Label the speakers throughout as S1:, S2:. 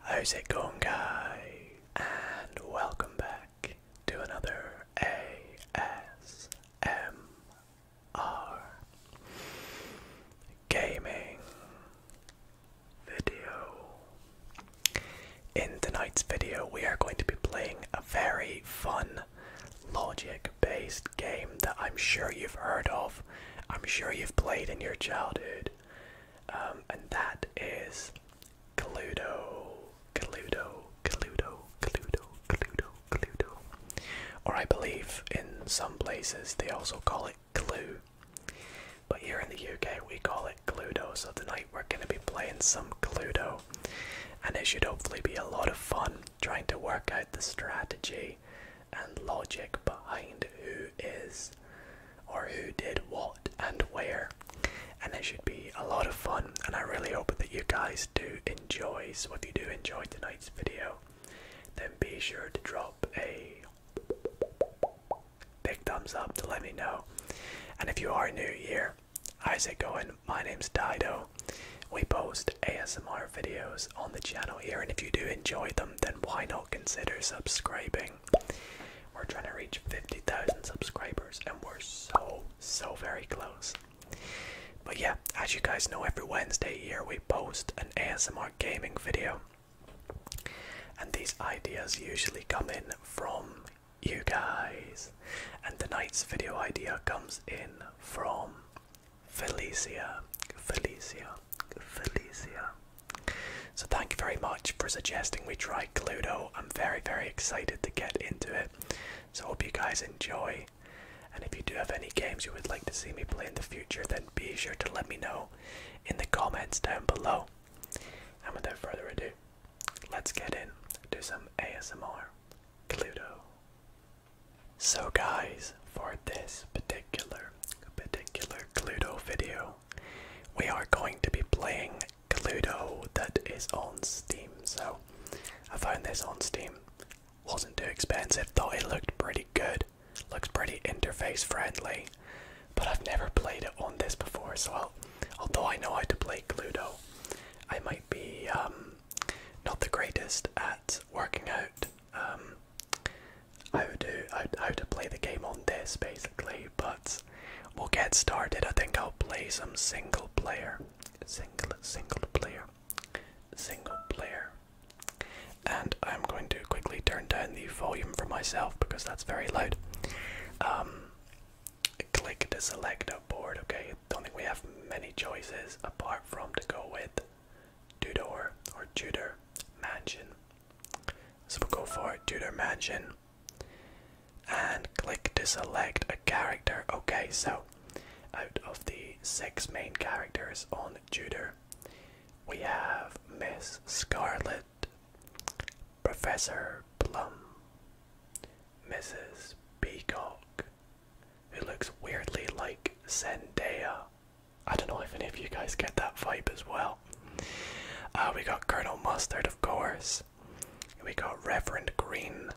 S1: How's it going, guys? And welcome back to another ASMR gaming video. In tonight's video, we are going to be playing a very fun logic based game that I'm sure you've heard of, I'm sure you've played in your childhood. Um, and that is Cluedo, Cluedo, Cluedo, Cluedo, Cluedo, Cluedo. Or I believe in some places they also call it Clue. But here in the UK we call it Cludo. so tonight we're going to be playing some Cludo, And it should hopefully be a lot of fun trying to work out the strategy and logic behind who is or who did what and where. And it should be a lot of fun, and I really hope that you guys do enjoy. So, if you do enjoy tonight's video, then be sure to drop a big thumbs up to let me know. And if you are new here, how's it going? My name's Dido. We post ASMR videos on the channel here, and if you do enjoy them, then why not consider subscribing? We're trying to reach 50,000 subscribers, and we're so, so very close. But yeah, as you guys know, every Wednesday here we post an ASMR gaming video. And these ideas usually come in from you guys. And tonight's video idea comes in from Felicia. Felicia. Felicia. So thank you very much for suggesting we try Cluedo. I'm very, very excited to get into it. So hope you guys enjoy. And if you do have any games you would like to see me play in the future, then be sure to let me know in the comments down below. And without further ado, let's get in do some ASMR Cluedo. So guys, for this particular particular Cluedo video, we are going to be playing Cluedo that is on Steam. So I found this on Steam. Wasn't too expensive, though it looked pretty good. Looks pretty interface friendly. But I've never played it on this before, so although I know how to play Cluedo, I might be um, not the greatest at working out um, how to how to play the game on this, basically. But We'll get started. I think I'll play some single player. Single, single player. Single player. And I'm going to quickly turn down the volume for myself because that's very loud. Um, click to select a board. Okay, don't think we have many choices apart from to go with Tudor or Tudor Mansion. So we'll go for Tudor Mansion and click to select a character. Okay, so out of the six main characters on Juder, we have Miss Scarlet, Professor Plum, Mrs. Peacock, who looks weirdly like Zendaya. I don't know if any of you guys get that vibe as well. Uh, we got Colonel Mustard, of course. We got Reverend Green.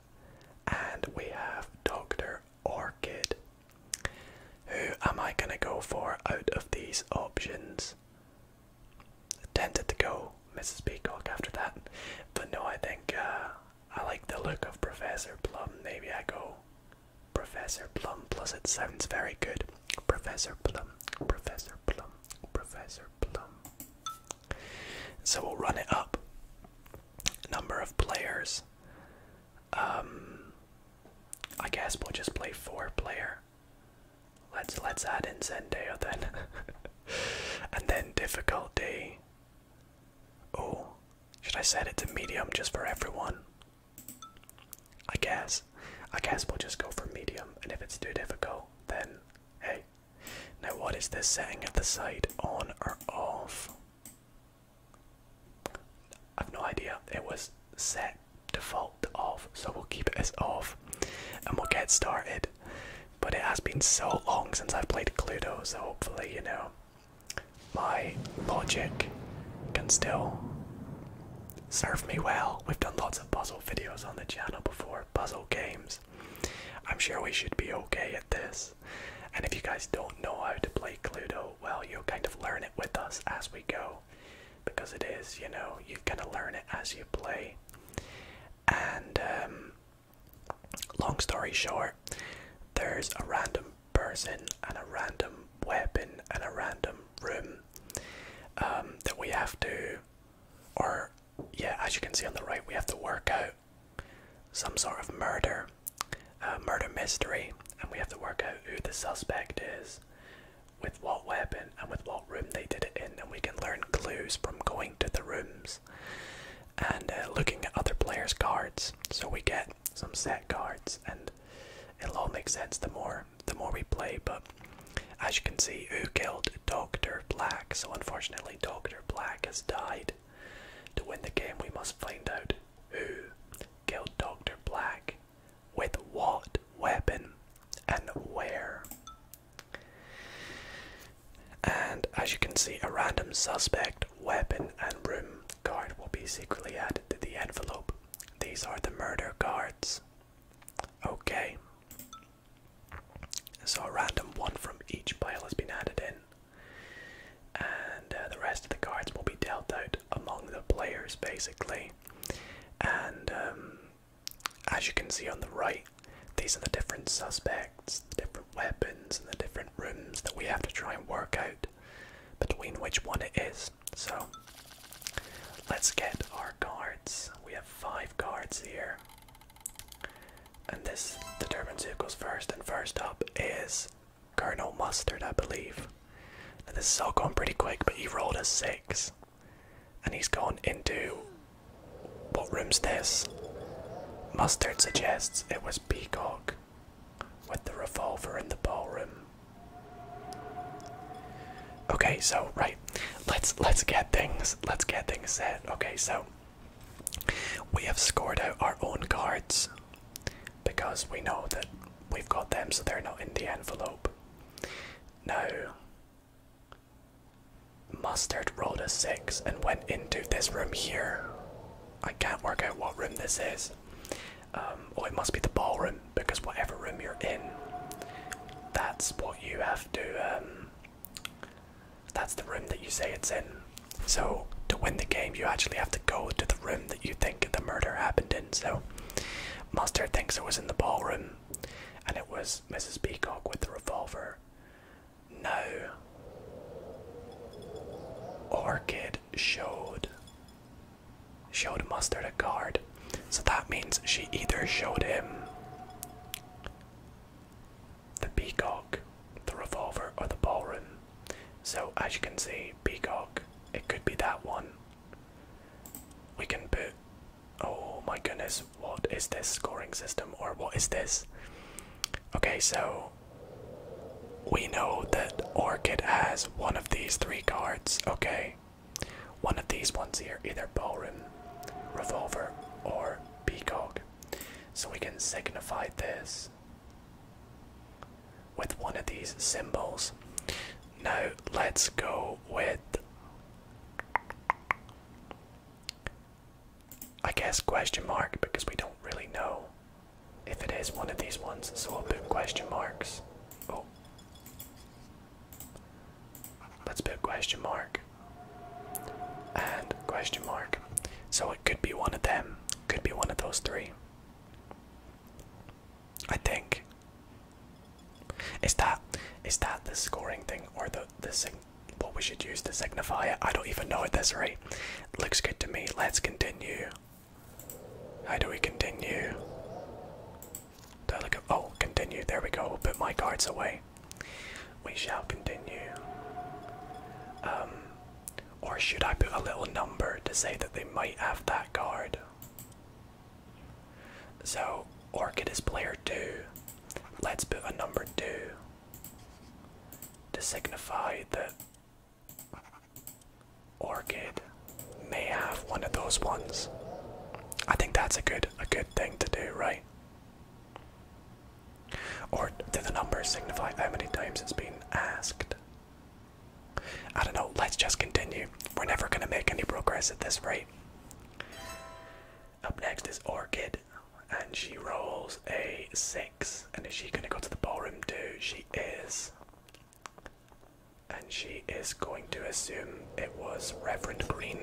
S1: And we have Dr. Orchid. Who am I going to go for out of these options? I tempted to go Mrs. Peacock after that. But no, I think uh, I like the look of Professor Plum. Maybe I go Professor Plum, plus it sounds very good. Professor Plum, Professor Plum, Professor Plum. So we'll run it up. Number of players. Um, I guess we'll just play four player. Let's let's add in Zendaya then, and then difficulty. Oh, should I set it to medium just for everyone? I guess. I guess we'll just go for medium, and if it's too difficult, then hey. Now what is this setting at the side, on or off? I've no idea. It was set default off, so we'll keep it as off and we'll get started. But it has been so long since I've played Cluedo, so hopefully, you know, my logic can still serve me well. We've done lots of puzzles videos on the channel before, puzzle games. I'm sure we should be okay at this. And if you guys don't know how to play Cluedo, well, you'll kind of learn it with us as we go. Because it is, you know, you kind of learn it as you play. And, um, long story short, there's a random person and a random weapon and a random room um, that we have to or, yeah, as you can see on the right, we have to work out some sort of murder, uh, murder mystery, and we have to work out who the suspect is, with what weapon, and with what room they did it in, and we can learn clues from going to the rooms and uh, looking at other players' cards. So we get some set cards, and it'll all make sense the more the more we play, but as you can see, who killed Doctor Black? So unfortunately, Doctor Black has died. To win the game, we must find out who killed Doctor Black, with what weapon, and where. And as you can see, a random suspect, weapon, and room card will be secretly added to the envelope. These are the murder cards. Okay. So a random one from each pile has been added in, and uh, the rest of the cards will be dealt out among the players basically. And um, as you can see on the right, these are the different suspects, the different weapons, and the different rooms that we have to try and work out between which one it is. So let's get our cards. We have five cards here. And this, determines who goes first, and first up is Colonel Mustard, I believe. Now this all gone pretty quick, but he rolled a six. And he's gone into what room's this? Mustard suggests it was Peacock with the revolver in the ballroom. Okay, so right, let's let's get things let's get things set. Okay, so we have scored out our own cards because we know that we've got them, so they're not in the envelope. Now, Mustard rolled a six and went into this room here. I can't work out what room this is. Um, or oh, it must be the ballroom because whatever room you're in, that's what you have to um, that's the room that you say it's in. So, to win the game, you actually have to go to the room that you think the murder happened in. So, Mustard thinks it was in the ballroom, and it was Mrs. Peacock with the revolver. No. Orchid showed showed Mustard a card. So that means she either showed him the peacock, the revolver, or the ballroom. So, as you can see, peacock, it could be that one. We can put. Oh my goodness, what is this scoring system, or what is this? Okay, so we know that Orchid has one of these three cards, okay? One of these ones here, either ballroom, revolver, or peacock. So we can signify this with one of these symbols. Now let's go with, I guess, question mark because we don't really know if it is one of these ones, so I'll put question marks. Oh, Let's put question mark and question mark. So it could be one of them, could be one of those three. I think. Is that is that the scoring thing or the the sig what we should use to signify it? I don't even know at this rate. Looks good to me. Let's continue. How do we continue? Do I look oh continue? There we go. put my cards away we shall continue. Um, or should I put a little number to say that they might have that card? So, Orchid is player 2. Let's put a number 2 to signify that Orchid may have one of those ones. I think that's a good a good thing to do, right? Or do the numbers signify how many times it's been asked? I don't know, let's just continue. We're never going to make any progress at this rate. Up next is Orchid, and she rolls a 6. And is she going to go to the ballroom too? She is. And she is going to assume it was Reverend Green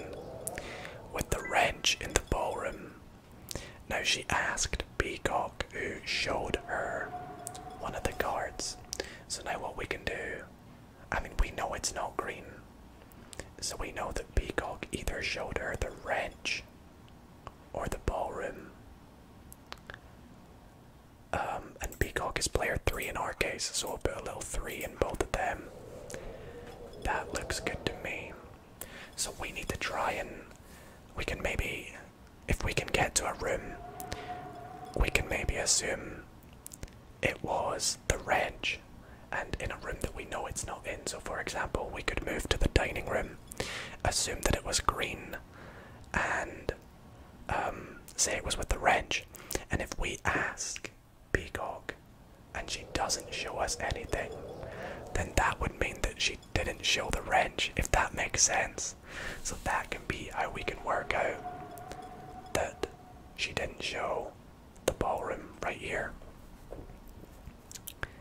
S1: with the wrench in the ballroom. Now she asked Peacock, who showed her one of the guards. So now what we can do, I mean, we know it's not green. So we know that Peacock either showed her the wrench or the ballroom. Um, and Peacock is player 3 in our case, so we'll put a little 3 in both of them. That looks good to me. So we need to try and we can maybe, if we can get to a room, we can maybe assume it was the reg and in a room that we know it's not in. So, for example, we could move to the dining room, assume that it was green, and um, say it was with the reg. And if we ask Peacock and she doesn't show us anything, then that would mean that she didn't show the wrench, if that makes sense. So that can be how we can work out that she didn't show the ballroom right here.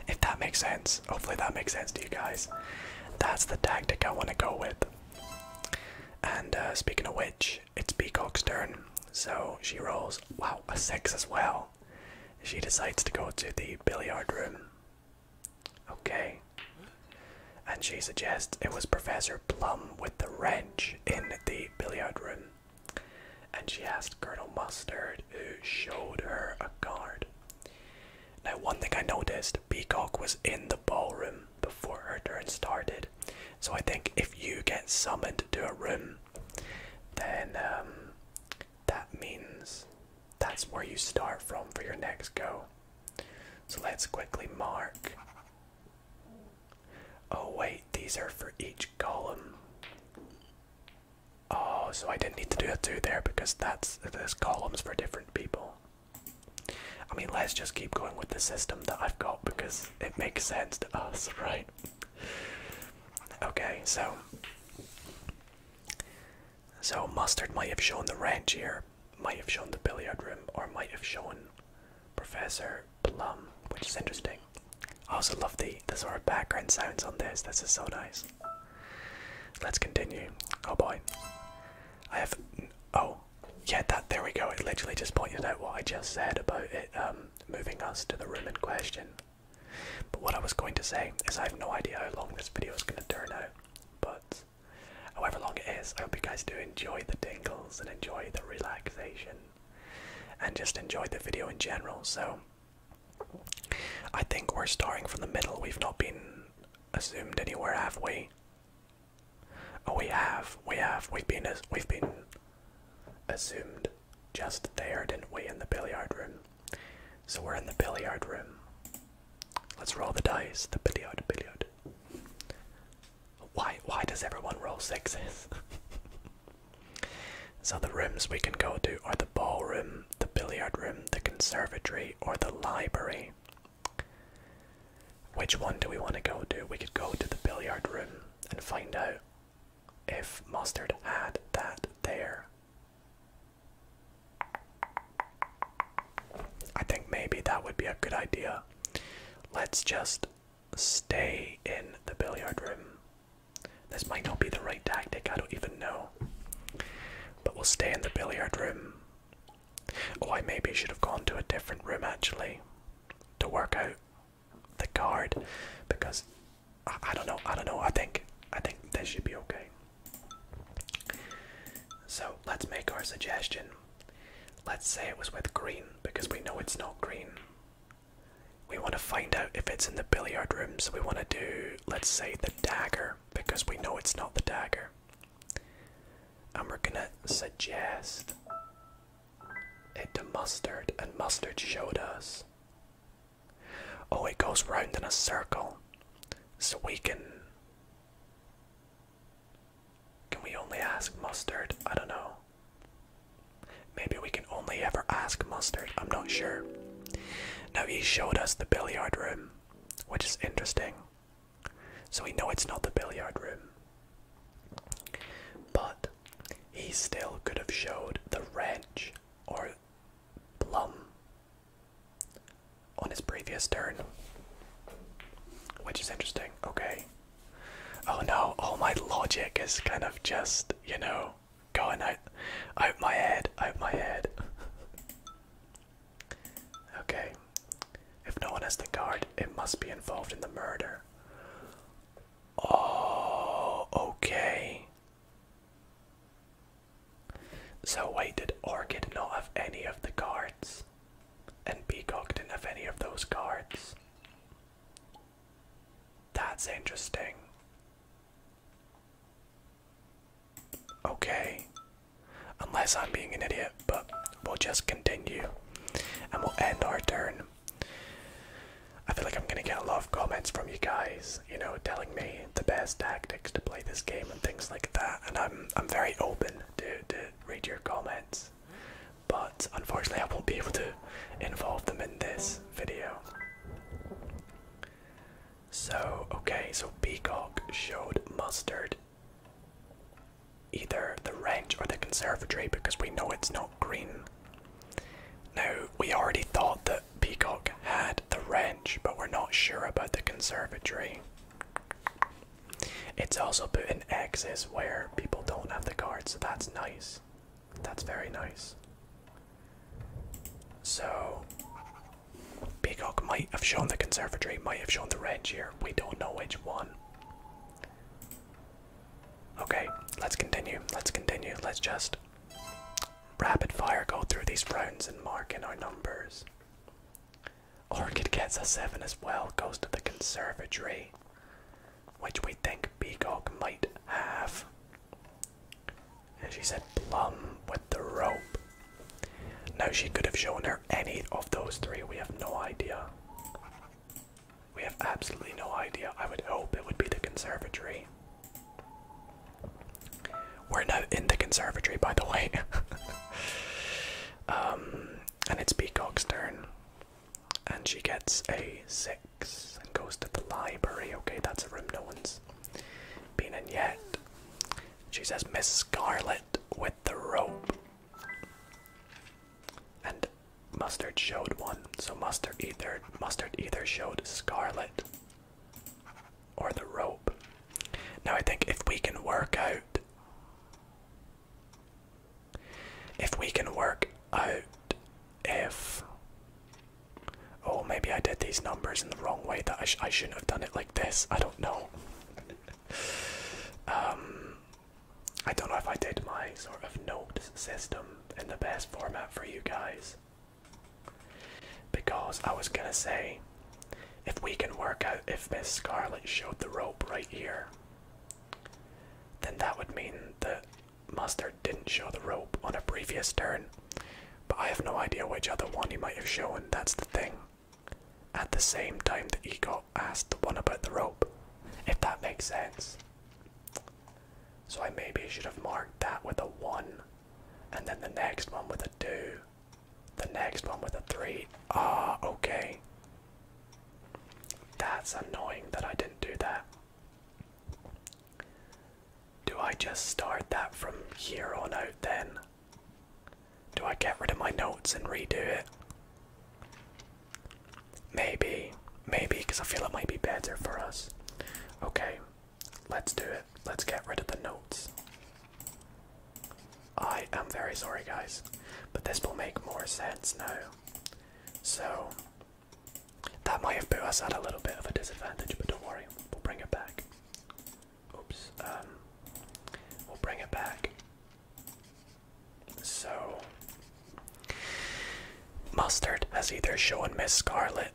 S1: If that makes sense, hopefully that makes sense to you guys. That's the tactic I want to go with. And uh, speaking of which, it's Peacock's turn, so she rolls, wow, a six as well. She decides to go to the billiard room. Okay. And she suggests it was Professor Plum with the wrench in the billiard room. And she asked Colonel Mustard, who showed her a card. Now, one thing I noticed Peacock was in the ballroom before her turn started. So I think if you get summoned to a room, then um, that means that's where you start from for your next go. So let's quickly mark. Oh, wait, these are for each column. Oh, so I didn't need to do a two there because that's there's columns for different people. I mean, let's just keep going with the system that I've got because it makes sense to us, right? Okay, so so mustard might have shown the ranch here, might have shown the billiard room, or might have shown Professor Plum, which is interesting. I also love the the sort of background sounds on this. This is so nice. Let's continue. Oh boy, I have oh yeah that there we go. It literally just pointed out what I just said about it um, moving us to the room in question. But what I was going to say is I have no idea how long this video is going to turn out, but however long it is, I hope you guys do enjoy the dingles and enjoy the relaxation and just enjoy the video in general. So I think we're starting from the middle. We've not been assumed anywhere, have we? Oh, we have. We have. We've been. We've been Assumed just there, didn't we, in the billiard room? So we're in the billiard room. Let's roll the dice. The billiard, billiard. Why, why does everyone roll sixes? so the rooms we can go to are the ballroom, the billiard room, the conservatory, or the library. Which one do we want to go to? We could go to the billiard room and find out if Mustard had that there. I think maybe that would be a good idea. Let's just stay in the billiard room. This might not be the right tactic, I don't even know. But we'll stay in the billiard room. Oh, I maybe should have gone to a different room actually to work out the guard, because I, don't know. I don't know. I think I think that should be okay. So let's make our suggestion. Let's say it was with green because we know it's not green. We want to find out if it's in the billiard room, so we want to do, let's say, the dagger because we know it's not the dagger. And we're gonna suggest it to mustard, and mustard showed us Oh, it goes round in a circle. So we can. Can we only ask mustard? I don't know. Maybe we can only ever ask mustard. I'm not sure. Now he showed us the billiard room, which is interesting. So we know it's not the billiard room. But he still could have showed the wrench or Plum on his previous turn. Which is interesting. Okay. Oh no, all oh, my logic is kind of just, you know, going out out my head, out my head. okay. If no one has the card, it must be involved in the murder. Oh, okay. So why did Orchid not have any of the cards? And Peacock didn't have any of those cards. That's interesting. Okay. Unless I'm being an idiot, but we'll just continue. And we'll end our turn. I feel like I'm gonna get a lot of comments from you guys, you know, telling me the best tactics to play this game and things like that. And I'm I'm very open to to read your comments, but unfortunately I won't be able to involve them in this video. So okay, so Peacock showed mustard either the ranch or the conservatory because we know it's not green now, we already thought that Peacock had the wrench, but we're not sure about the conservatory. It's also put in X's where people don't have the cards, that's nice. That's very nice. So, Peacock might have shown the conservatory, might have shown the wrench here. We don't know which one. Okay, let's continue. Let's continue. Let's just rapid fire go through these rounds and mark in our numbers. Orchid gets a 7 as well, goes to the conservatory, which we think Peacock might have. And she said plum with the rope. Now she could have shown her any of those three, we have no idea. We have absolutely no idea. I would hope it would be the conservatory. We're now in the conservatory, by the way. Um, and it's Peacock's turn. And she gets a 6 and goes to the library. Okay, that's a room no one's been in yet. She says, Miss Scarlet with the rope. And Mustard showed one. So Mustard either Mustard either showed Scarlet or the rope. Now I think if we can work out. If we can work out if. Oh, maybe I did these numbers in the wrong way. That I, I shouldn't have done it like this. I don't know. um, I don't know if I did my sort of note system in the best format for you guys. Because I was gonna say, if we can work out if Miss Scarlet showed the rope right here, then that would mean that Mustard didn't show the rope on a previous turn. But I have no idea which other one he might have shown, that's the thing. At the same time that he got asked the one about the rope, if that makes sense. So I maybe should have marked that with a 1 and then the next one with a 2. The next one with a 3. Ah, okay. That's annoying that I didn't do that. Do I just start that from here on out then? Do I get rid of my notes and redo it? Maybe. Maybe, because I feel it might be better for us. Okay, Let's do it. Let's get rid of the notes. I am very sorry, guys, but this will make more sense now. So, that might have put us at a little bit of a disadvantage, but don't worry, we'll bring it back. Oops, um, we'll bring it back. So, Mustard as either shown Miss Scarlet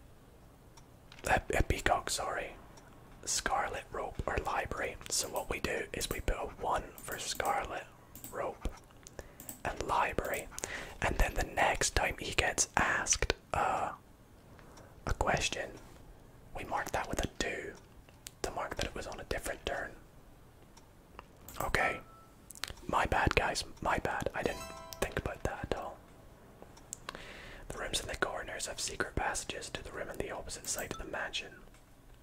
S1: a, peacock, sorry, scarlet rope or library. So what we do is we put a one for scarlet rope and library, and then the next time he gets asked uh, a question, we mark that with a two to mark that it was on a different turn. Okay, my bad, guys. My bad. I didn't think about that at all. The rooms in the corners have secret passages to the room in the opposite side of the mansion.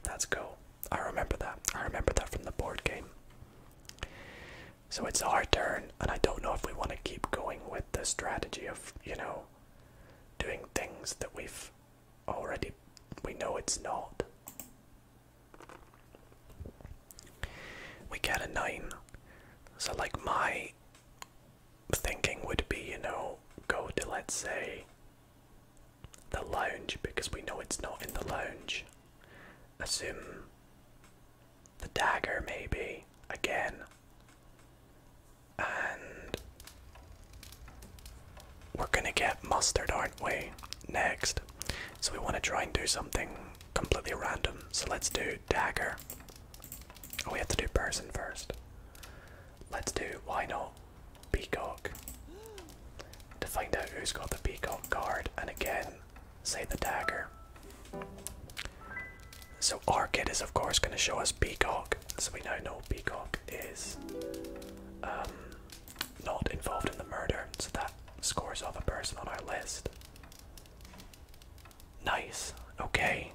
S1: That's cool. I remember that. I remember that from the board game. So it's our turn, and I don't know if we want to keep going with the strategy of, you know, doing things that we've already. We know it's not. We get a 9. So, like, my thinking would be, you know, go to let's say the lounge because we know it's not in the lounge. Assume the dagger, maybe again, and we're gonna get mustard, aren't we? Next, so we want to try and do something completely random. So let's do dagger we have to do person first. Let's do why not peacock to find out who's got the peacock card, and again, say the dagger. So our kid is of course going to show us peacock, so we now know peacock is um, not involved in the murder, so that scores off a person on our list. Nice. Okay.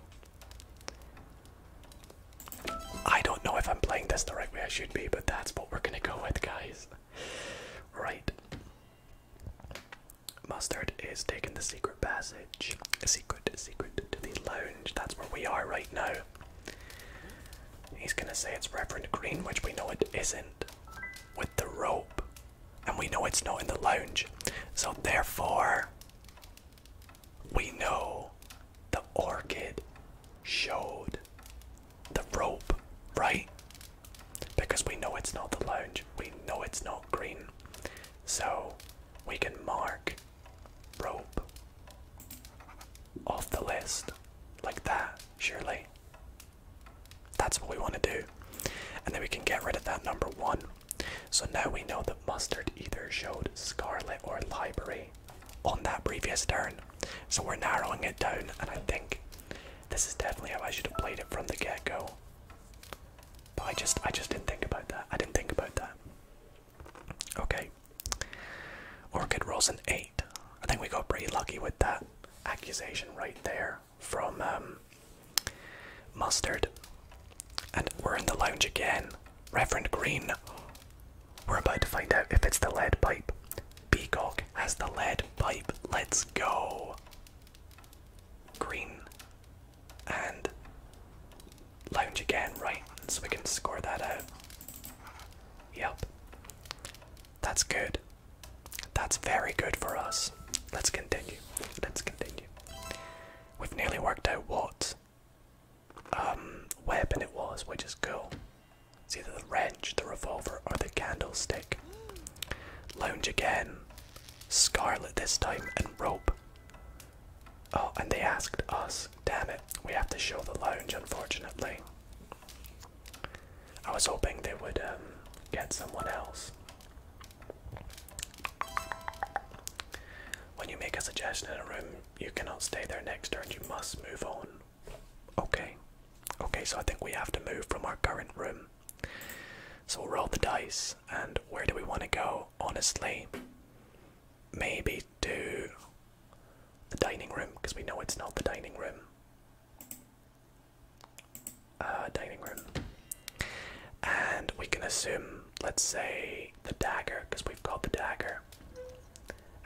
S1: I don't know if I'm playing this the right way I should be, but that's what we're gonna go with, guys. Right. Mustard is taking the secret passage. secret, secret to the lounge. That's where we are right now. He's gonna say it's Reverend Green, which we know it isn't. With the rope. And we know it's not in the lounge. So therefore, we know the orchid showed the rope, right? Because we know it's not the lounge. We know it's not green. So we can mark rope off the list like that, surely. That's what we want to do. And then we can get rid of that number one. So now we know that Mustard either showed Scarlet or Library on that previous turn. So we're narrowing it down, and I think this is definitely how I should have played it from the get-go. But I just I just didn't think about that. I didn't think about that. Okay. Orchid rolls an eight. I think we got pretty lucky with that accusation right there from um Mustard. And we're in the lounge again. Reverend Green. We're about to find out if it's the lead pipe. Peacock has the lead pipe. Let's go. Green. And lounge again, right? So we can score that out. Yep. That's good. That's very good for us. Let's continue. Let's continue. We've nearly worked out what um, weapon it was, which is cool. It's either the wrench, the revolver, or the candlestick. Lounge again. Scarlet this time, and rope. Oh, and they asked us. Damn it, we have to show the lounge, unfortunately. I was hoping they would um, get someone else. When you make a suggestion in a room, you cannot stay there next turn, you must move on. Okay. Okay, so I think we have to move from our current room. So we'll roll the dice, and where do we want to go? Honestly, maybe to the dining room, because we know it's not the dining room. Uh, dining room. And we can assume, let's say, the dagger, because we've got the dagger.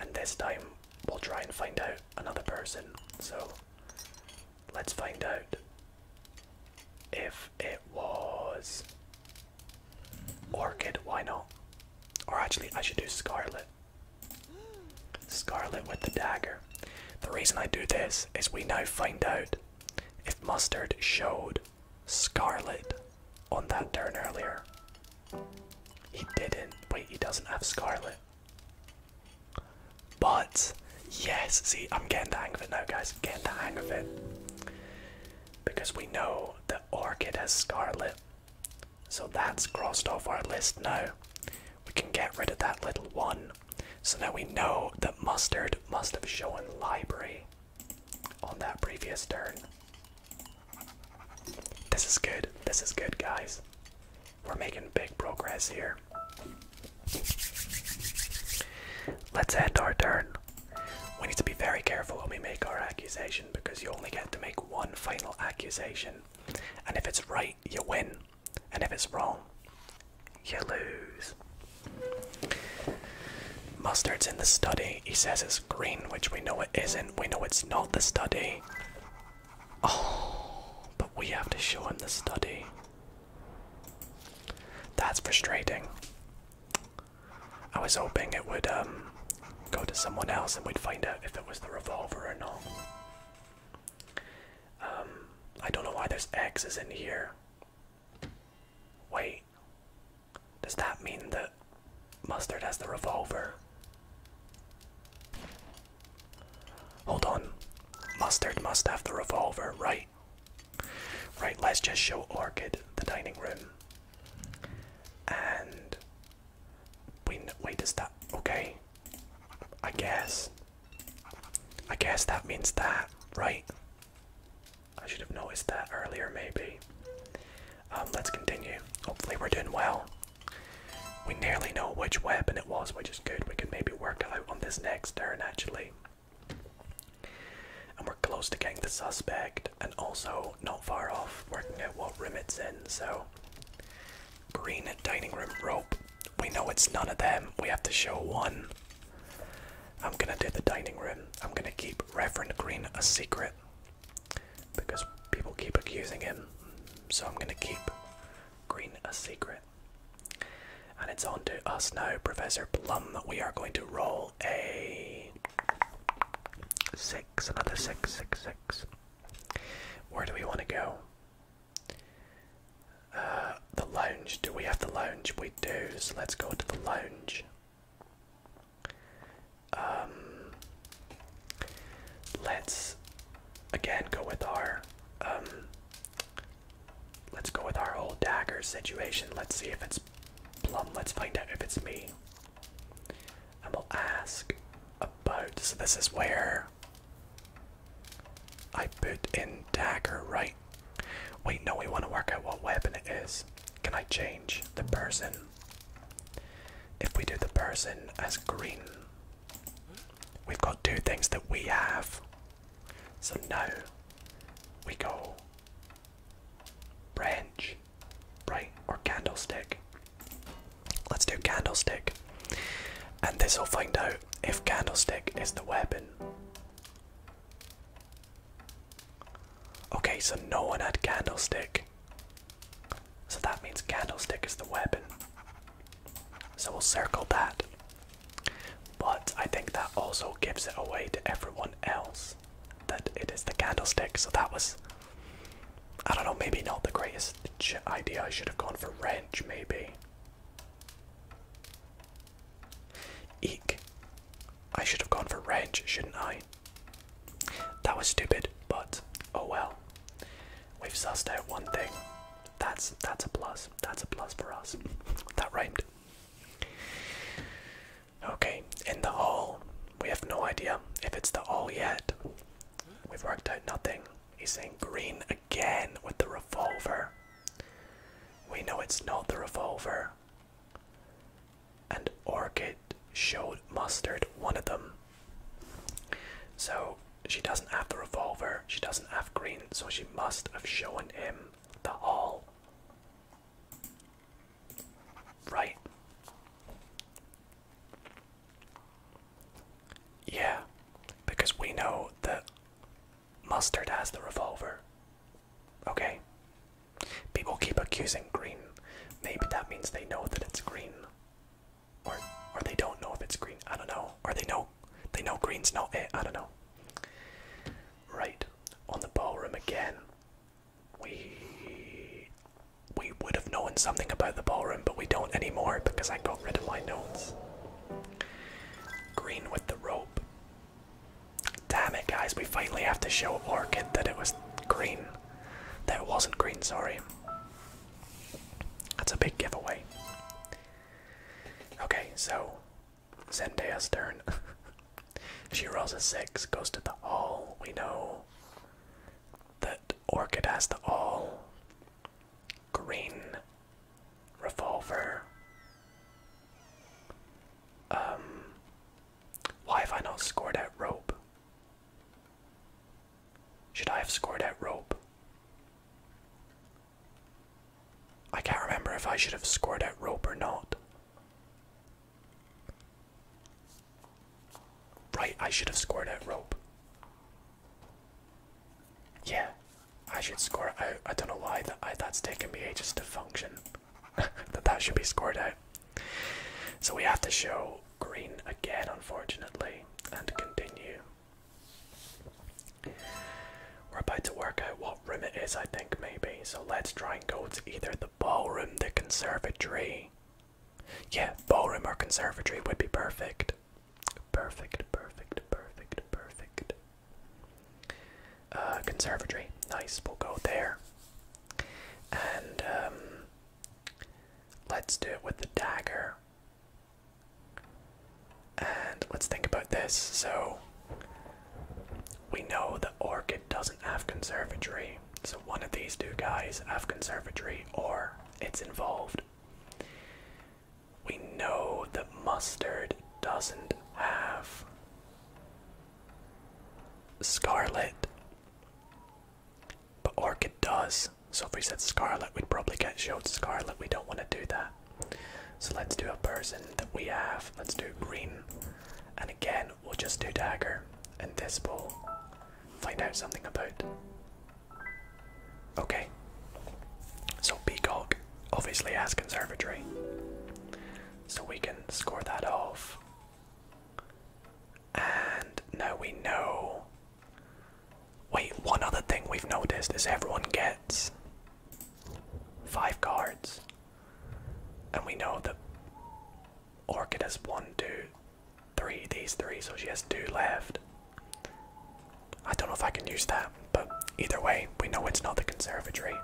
S1: And this time we'll try and find out another person. So let's find out if it was Orchid, why not? Or actually, I should do Scarlet. Scarlet with the dagger. The reason I do this is we now find out if Mustard showed Scarlet on that turn earlier. He didn't. Wait, he doesn't have Scarlet. But, yes, see, I'm getting the hang of it now, guys. Getting the hang of it. Because we know the Orchid has Scarlet. So that's crossed off our list now. We can get rid of that little one. So now we know that Mustard must have shown Library on that previous turn. This is good. This is good, guys. We're making big progress here. Let's end our turn. We need to be very careful when we make our accusation because you only get to make one final accusation. And if it's right, you win. And if it's wrong, you lose. Mustard's in the study. He says it's green, which we know it isn't. We know it's not the study. Oh, but we have to show him the study. That's frustrating. I was hoping it would um, go to someone else and we'd find out if it was the revolver or not. Um, I don't know why there's X's in here. Wait. Does that mean that Mustard has the revolver? Hold on. Mustard must have the revolver, right? Right, let's just show Orchid the dining room. And. Wait, wait, is that. Okay. I guess. I guess that means that, right? I should have noticed that earlier, maybe. Um, let's continue. Hopefully, we're doing well. We nearly know which weapon it was, which is good. We can maybe work it out on this next turn, actually. And we're close to getting the suspect, and also not far off working out what room it's in. So, green dining room rope. We know it's none of them. We have to show one. I'm gonna do the dining room. I'm gonna keep Reverend Green a secret because people keep accusing him. So I'm gonna keep Green a secret. And it's on to us now, Professor Plum. We are going to roll a six, another six, six, six. Where do we want to go? Uh, the lounge. Do we have the lounge? We do. So let's go to the lounge. Um, let's again go with our um, let's go with our whole dagger situation. Let's see if it's plum. Let's find out if it's me. And we'll ask about. So this is where I put in dagger, right? We know we want to work out what weapon it is. Can I change the person? If we do the person as green, we've got two things that we have. So now we go branch, right, or candlestick. Let's do candlestick. And this will find out if candlestick is the weapon. Okay, so no one had candlestick. So that means candlestick is the weapon. So we'll circle that. But I think that also gives it away to everyone else that it is the candlestick. So that was, I don't know, maybe not the greatest idea. I should have gone for wrench, maybe. Eek. I should have gone for range, shouldn't I? That was stupid, but oh well. We've sussed out one thing. That's that's a plus. That's a plus for us. that rhymed. Okay, in the hole, We have no idea if it's the hall yet. We've worked out nothing. He's saying green again with the revolver. We know it's not the revolver and Orchid showed Mustard one of them. So she doesn't have the revolver, she doesn't have green, so she must have shown him the hall. Right. Yeah, because we know that Mustard has the revolver. Okay, People keep accusing green. Maybe that means they know that it's green. Or or they don't know if it's green. I don't know. Or they know they know green's not it. I don't know. Right. On the ballroom again. We we would have known something about the ballroom, but we don't anymore because I got rid of my notes. Green with the rope. Damn it, guys, we finally have to show Orchid that it was green. That it wasn't green, sorry. That's a big giveaway. Okay, so Zendaya's turn. she rolls a 6, goes to the all. We know that Orchid has the all. Green revolver. Um why have I not scored at rope? Should I have scored at rope? I can't remember if I should have scored at rope or not. Right, I should have scored at rope. Yeah, I should score. I, I don't know why that that's taken me ages to function. that that should be scored out. So we have to show green again, unfortunately, and continue. We're about to work out what room it is, I think, maybe. So let's try and go to either the ballroom, the conservatory. Yeah, ballroom or conservatory would be perfect. Perfect, perfect, perfect, perfect. Uh, conservatory. Nice, we'll go there. And um, let's do it with the dagger. And let's think about this. So we know that Orchid doesn't have conservatory. So one of these two guys have conservatory or it's involved. We know that Mustard doesn't have Scarlet but Orchid does. So if we said Scarlet, we'd probably get showed Scarlet. We don't want to do that. So let's do a person that we have. Let's do green. And again, we'll just do dagger. And this will find out something about. Okay. So Peacock obviously has Conservatory. So we can score that off. And now we know. Wait, one other thing we've noticed is everyone gets five cards. And we know that Orchid has one, two, three, these three, so she has two left. I don't know if I can use that, but either way, we know it's not the conservatory.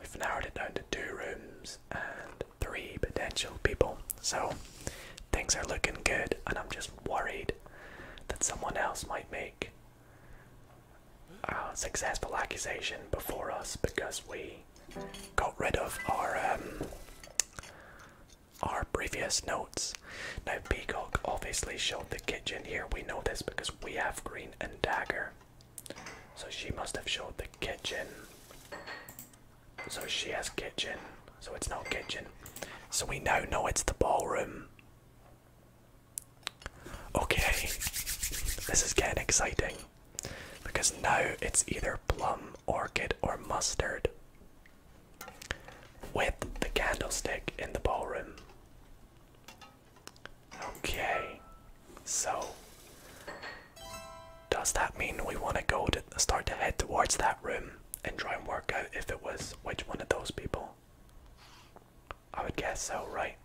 S1: We've narrowed it down to two rooms, and three potential people. So things are looking good, and I'm just worried that someone else might make a successful accusation before us because we got rid of our um, our previous notes. Now Peacock obviously showed the kitchen here. We know this because we have Green and Dagger. So she must have showed the kitchen. So she has kitchen. So it's not kitchen. So we know now it's the ballroom. Okay. This is getting exciting. Because now it's either plum, orchid, or mustard. With the candlestick in the ballroom. Okay. So does that mean we want to go to start to head towards that room and try and work out if it was which one of those people? I would guess so, right?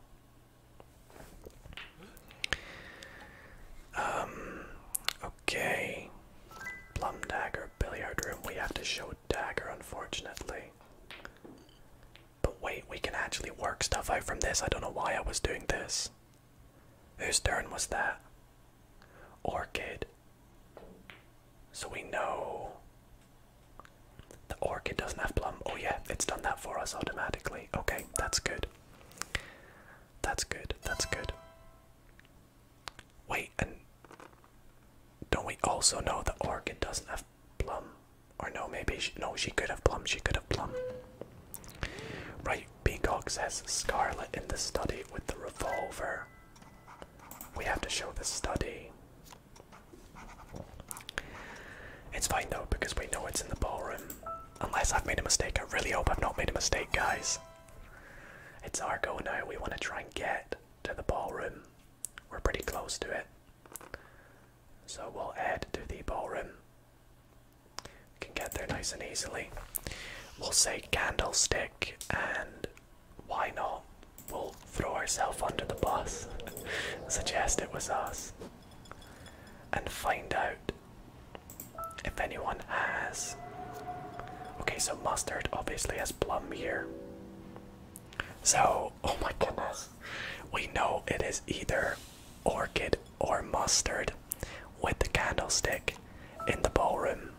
S1: Um, okay. Plum dagger, billiard room. We have to show dagger, unfortunately. But wait, we can actually work stuff out from this. I don't know why I was doing this. Whose turn was that? Orchid. So we know the orchid doesn't have plum. Oh, yeah, it's done that for us automatically. Okay, that's good. That's good. That's good. Wait, and don't we also know the orchid doesn't have plum? Or no, maybe no, she could have plum. She could have plum. Right, Peacock says Scarlet in the study with the revolver. We have to show the study. It's fine though, because we know it's in the ballroom. Unless I've made a mistake. I really hope I've not made a mistake, guys. It's our go now. We want to try and get to the ballroom. We're pretty close to it. So we'll head to the ballroom. We can get there nice and easily. We'll say candlestick, and why not? We'll throw ourselves under the bus, suggest it was us, and find out if anyone has. Okay, so mustard obviously has plum here. So, oh my goodness, we know it is either orchid or mustard with the candlestick in the ballroom.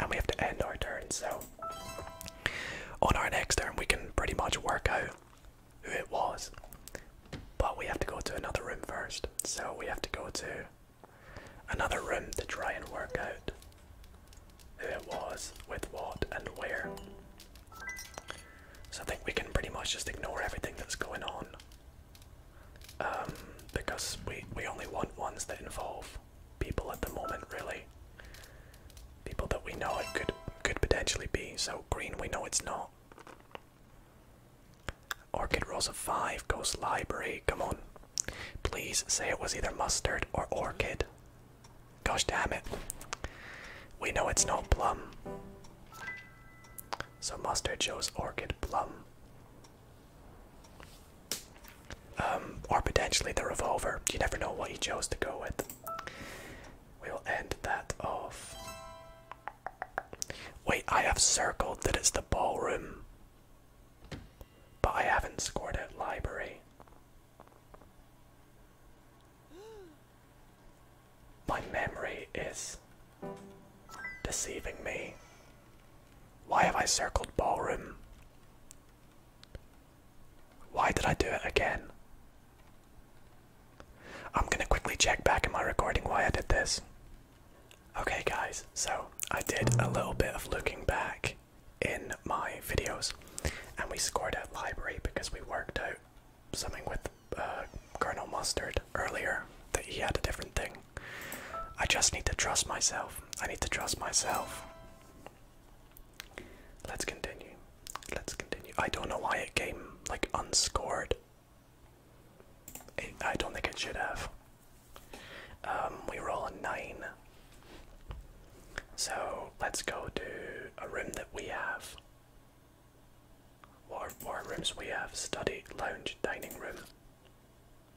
S1: And we have to end our turn, so on our next turn, we can pretty much work out who it was. But we have to go to another room first, so we have to go to another room to try and work out who it was, with what, and where. So I think we can pretty much just ignore everything that's going on um, because we, we only want ones that involve people at the moment, really. People that we know it could could potentially be. So green, we know it's not. Orchid rolls a five. Ghost library. Come on, please say it was either mustard or orchid. Gosh damn it. We know it's not plum. So mustard shows orchid plum. Um, or potentially the revolver. You never know what he chose to go with. We'll end that off. Wait, I have circled that it's the ballroom. But I haven't scored out library. My memory is Deceiving me. Why have I circled ballroom? Why did I do it again? I'm gonna quickly check back in my recording why I did this. Okay, guys, so I did a little bit of looking back in my videos, and we scored at library because we worked out something with uh, Colonel Mustard earlier that he had a different thing. I just need to trust myself. I need to trust myself. Let's continue. Let's continue. I don't know why it came like unscored. I don't think it should have. Um, we roll a nine. So let's go to a room that we have. What are, rooms we have? Study, lounge, dining room.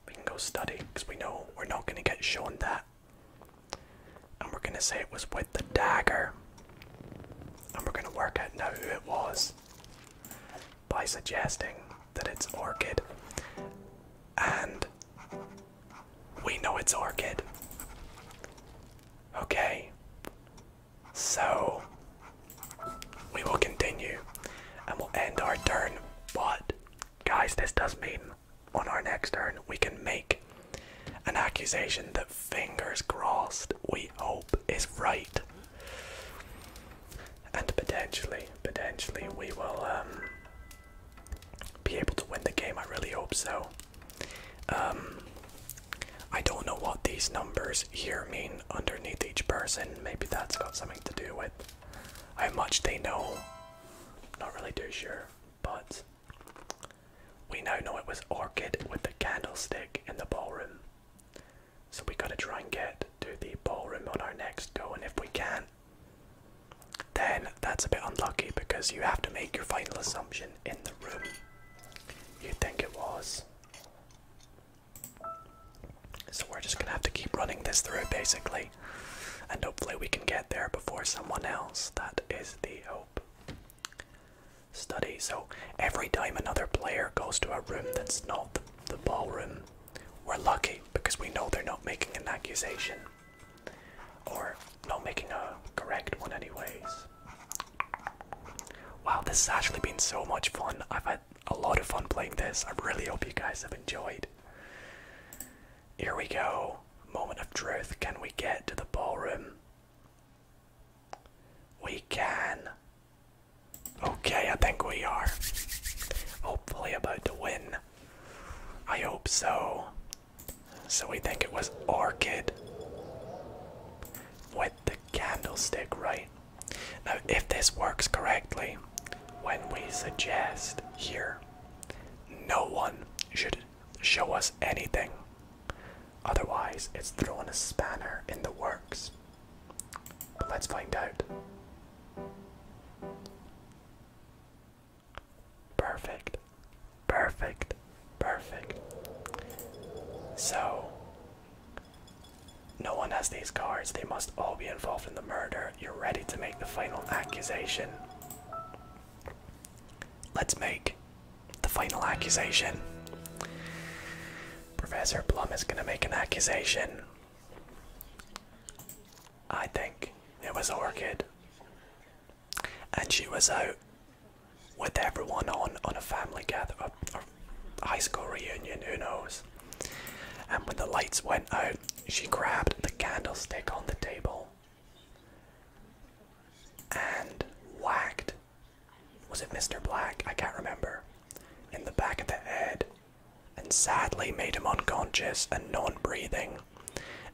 S1: We can go study because we know we're not going to get shown that. And we're going to say it was with the dagger. And we're going to work out now who it was by suggesting that it's Orchid. And we know it's Orchid. Okay. So we will continue and we'll end our turn. But, guys, this does mean on our next turn we can make an accusation that fingers crossed we hope is right. And potentially, potentially we will um, be able to win the game. I really hope so. Um, I don't know what these numbers here mean underneath each person. Maybe that's got something to do with how much they know. Not really too sure, but we now know it was Orchid with the candlestick in the ballroom. So we gotta try and get to the ballroom on our next go, and if we can, then that's a bit unlucky because you have to make your final assumption in the room you think it was. So we're just gonna have to keep running this through basically. And hopefully we can get there before someone else. That is the hope. Study. So every time another player goes to a room that's not the, ballroom, we're lucky because we know they're not making an accusation. Or not making a correct one anyways. Wow, this has actually been so much fun. I've had a lot of fun playing this. I really hope you guys have enjoyed. Here we go. Moment of truth. Can we get to the ballroom? We can. Okay, I think we are. Hopefully, about to win. I hope so. So, we think it was Orchid with the candlestick, right? Now, if this works correctly, when we suggest here, no one should show us anything. Otherwise, it's thrown a spanner in the works. let's find out. Perfect, perfect, perfect. So, no one has these cards. They must all be involved in the murder. You're ready to make the final accusation. Let's make the final accusation. Professor Plum is going to make an accusation. I think it was Orchid. And she was out with everyone on on a family gather, a, a high school reunion, who knows? And when the lights went out, she grabbed the candlestick on the table and whacked. Was it Mr. Black? I can't remember. In the back of the head, and sadly made him unconscious and non breathing.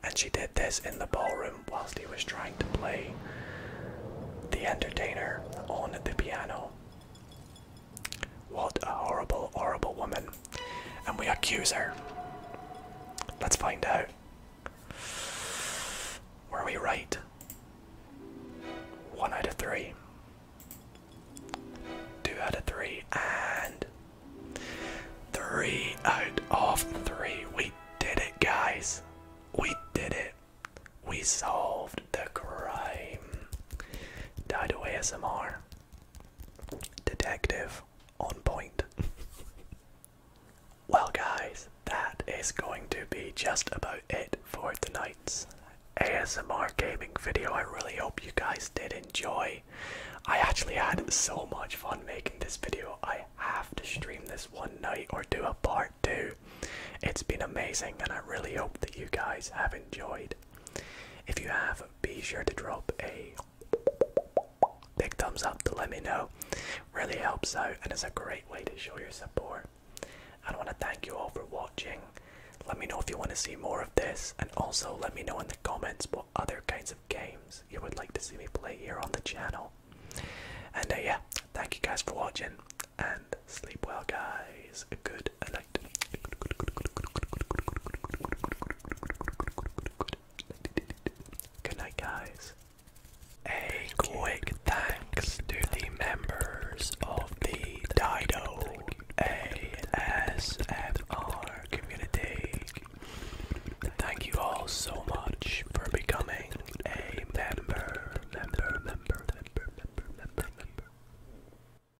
S1: And she did this in the ballroom whilst he was trying to play the entertainer on the piano. What a horrible, horrible woman. And we accuse her. Let's find out. Were we right? One out of three. Two out of three. And three out of three. We did it, guys. We did it. We solved the crime. Dido ASMR. Detective on point. well, guys, that is going to be just about it for tonight's ASMR gaming video. I really hope you guys did enjoy. I actually had so much fun making this video. I have to stream this one night or do a part two. It's been amazing, and I really hope that you guys have enjoyed. If you have, be sure to drop a big thumbs up to let me know. Really helps out and it's a great way to show your support. I want to thank you all for watching. Let me know if you want to see more of this and also let me know in the comments what other kinds of games you would like to see me play here on the channel. And uh, yeah, thank you guys for watching and sleep well guys. Good good, I liked it. Good, night, guys. A quick thanks to the members of the Dido ASMR community. Thank you all so much for becoming a member.